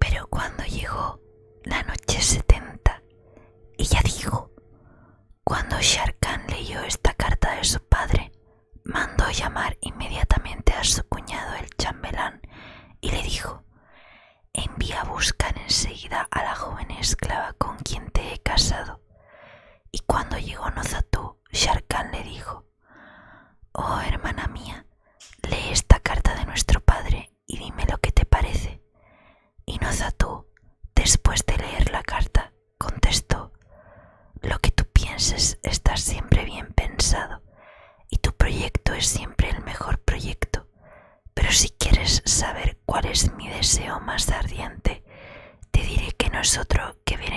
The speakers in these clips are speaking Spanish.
Pero cuando llegó la noche 70, ella dijo, cuando Sharkan leyó esta carta de su padre, mandó llamar inmediatamente a su cuñado el chambelán y le dijo, envía a buscar enseguida a la joven esclava con quien te he casado. Y cuando llegó Nozatú, Sharkán le dijo, Oh hermana mía, lee esta carta de nuestro padre y dime lo que te parece. Y Nozatú, después de leer la carta, contestó, Lo que tú pienses está siempre bien pensado y tu proyecto es siempre el mejor proyecto pero si quieres saber cuál es mi deseo más ardiente, te diré que no es otro que ver,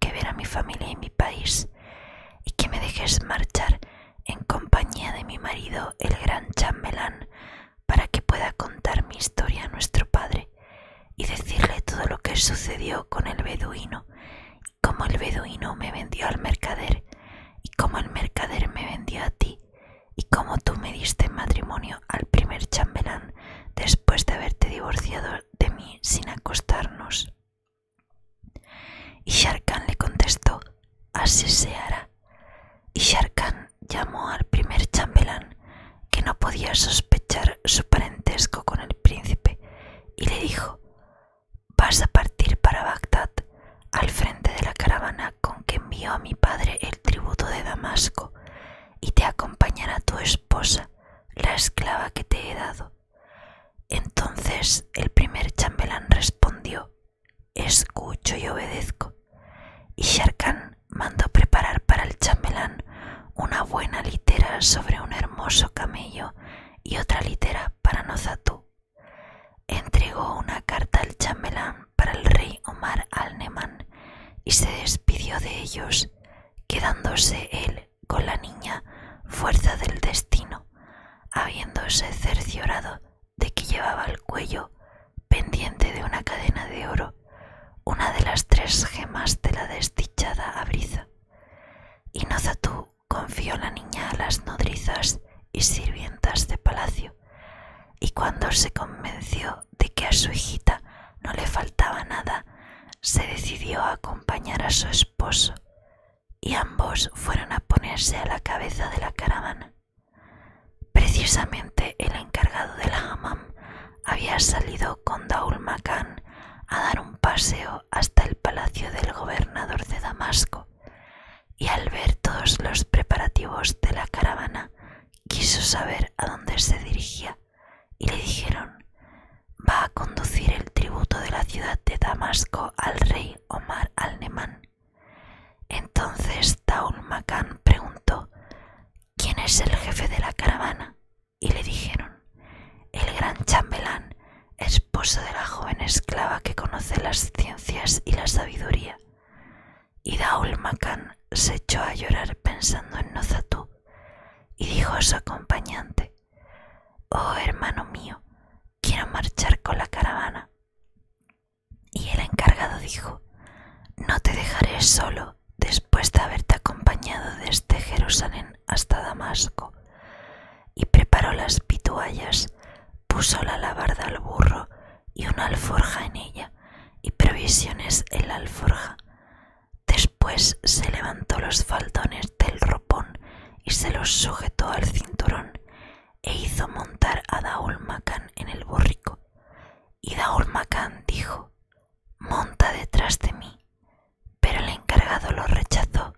que ver a mi familia y mi país, y que me dejes marchar en compañía de mi marido, el gran chambelán, para que pueda contar mi historia a nuestro padre y decirle todo lo que sucedió con el beduino, y cómo el beduino me vendió al mercader y cómo el mercader me vendió a ti y cómo tú me diste matrimonio al primer chambelán después de haberte divorciado de mí sin acostarnos. Y Sharkan le contestó, así se hará. Y Sharkan llamó al primer chambelán, que no podía sospechar su parentesco con el príncipe, y le dijo, Vas a partir para Bagdad al frente de la caravana con que envió a mi padre el tributo de Damasco, y te acompañará tu esposa, la esclava que te he dado. Entonces el primer chambelán respondió, Escucho y obedezco. Y Sharkán mandó preparar para el chambelán una buena litera sobre un hermoso camello y otra litera para Nozatú, Entregó una carta al chamelán para el rey Omar al nemán y se despidió de ellos, quedándose él con la niña fuerza del destino, habiéndose cerciorado de que llevaba al cuello, pendiente de una cadena de oro, una de las tres gemas de la desdichada abriza. Y zatú confió la niña a las nodrizas y sirvientas de palacio, y cuando se convenció de que a su hijita no le faltaba nada, se decidió a acompañar a su esposo, y ambos fueron a ponerse a la cabeza de la caravana. Precisamente el encargado de la hammam había salido con Daul Makan a dar un paseo hasta el palacio del gobernador de Damasco, y al ver todos los preparativos de la caravana, quiso saber a dónde se dirigía, y le dijeron, va a conducir el tributo de la ciudad de Damasco al rey Omar al-Nemán. Entonces Taul preguntó, ¿quién es el jefe de la caravana? Y le dijeron, el gran chambelán es esposa de la joven esclava que conoce las ciencias y la sabiduría, y Daul Makan se echó a llorar pensando en Nozatú, y dijo a su acompañante, Oh hermano mío, quiero marchar con la caravana. Y el encargado dijo, No te dejaré solo después de haberte acompañado desde Jerusalén hasta Damasco, y preparó las pituallas, puso la alabarda al burro y una alforja en ella, y provisiones en la alforja. Después se levantó los faldones del ropón y se los sujetó al cinturón, e hizo montar a Daul en el burrico. Y Daul dijo, Monta detrás de mí pero el encargado lo rechazó.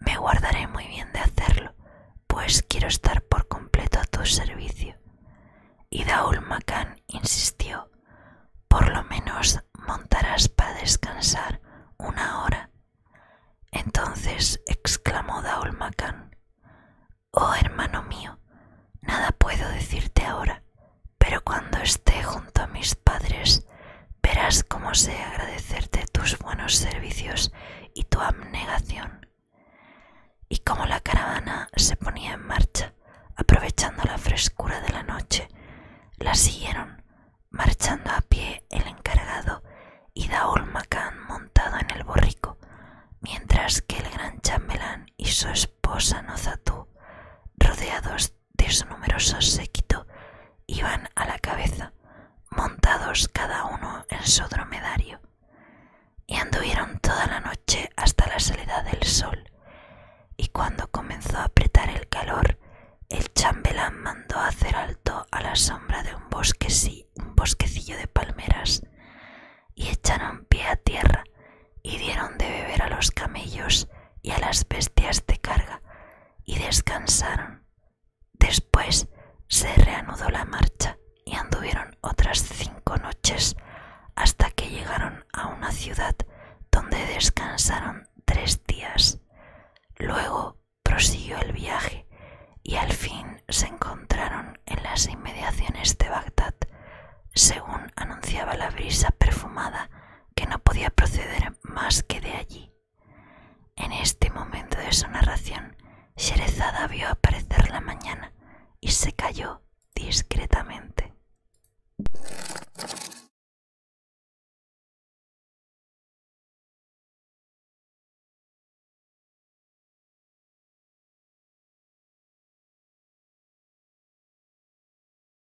Me guardaré muy bien de hacerlo, pues quiero estar por completo a tu servicio. Y Daul insistió, por lo menos montarás para descansar una hora. Entonces exclamó Daul Macán. Oh hermano mío, nada puedo decirte ahora, pero cuando esté junto a mis padres Verás cómo sé agradecerte tus buenos servicios y tu abnegación. Y como la caravana se ponía en marcha, aprovechando la frescura de la noche, la siguieron, marchando a pie el encargado y Daul Macán montado en el borrico, mientras que el gran chamelán y su esposa Nozatú, rodeados de su numeroso séquito iban a la cabeza, montados cada uno en su dromedario, y anduvieron toda la noche hasta la salida del sol, y cuando comenzó a apretar el calor, el chambelán mandó hacer alto a la sombra de un, bosque, un bosquecillo de palmeras, y echaron pie a tierra, y dieron de beber a los camellos y a las bestias de carga, y descansaron. Después se reanudó la marcha y anduvieron otras cinco noches hasta que llegaron a una ciudad donde descansaron tres días. Luego prosiguió el viaje y al fin se encontraron en las inmediaciones de Bagdad, según anunciaba la brisa perfumada que no podía proceder más que de allí. En este momento de su narración, Sherezada vio aparecer la mañana y se calló discretamente.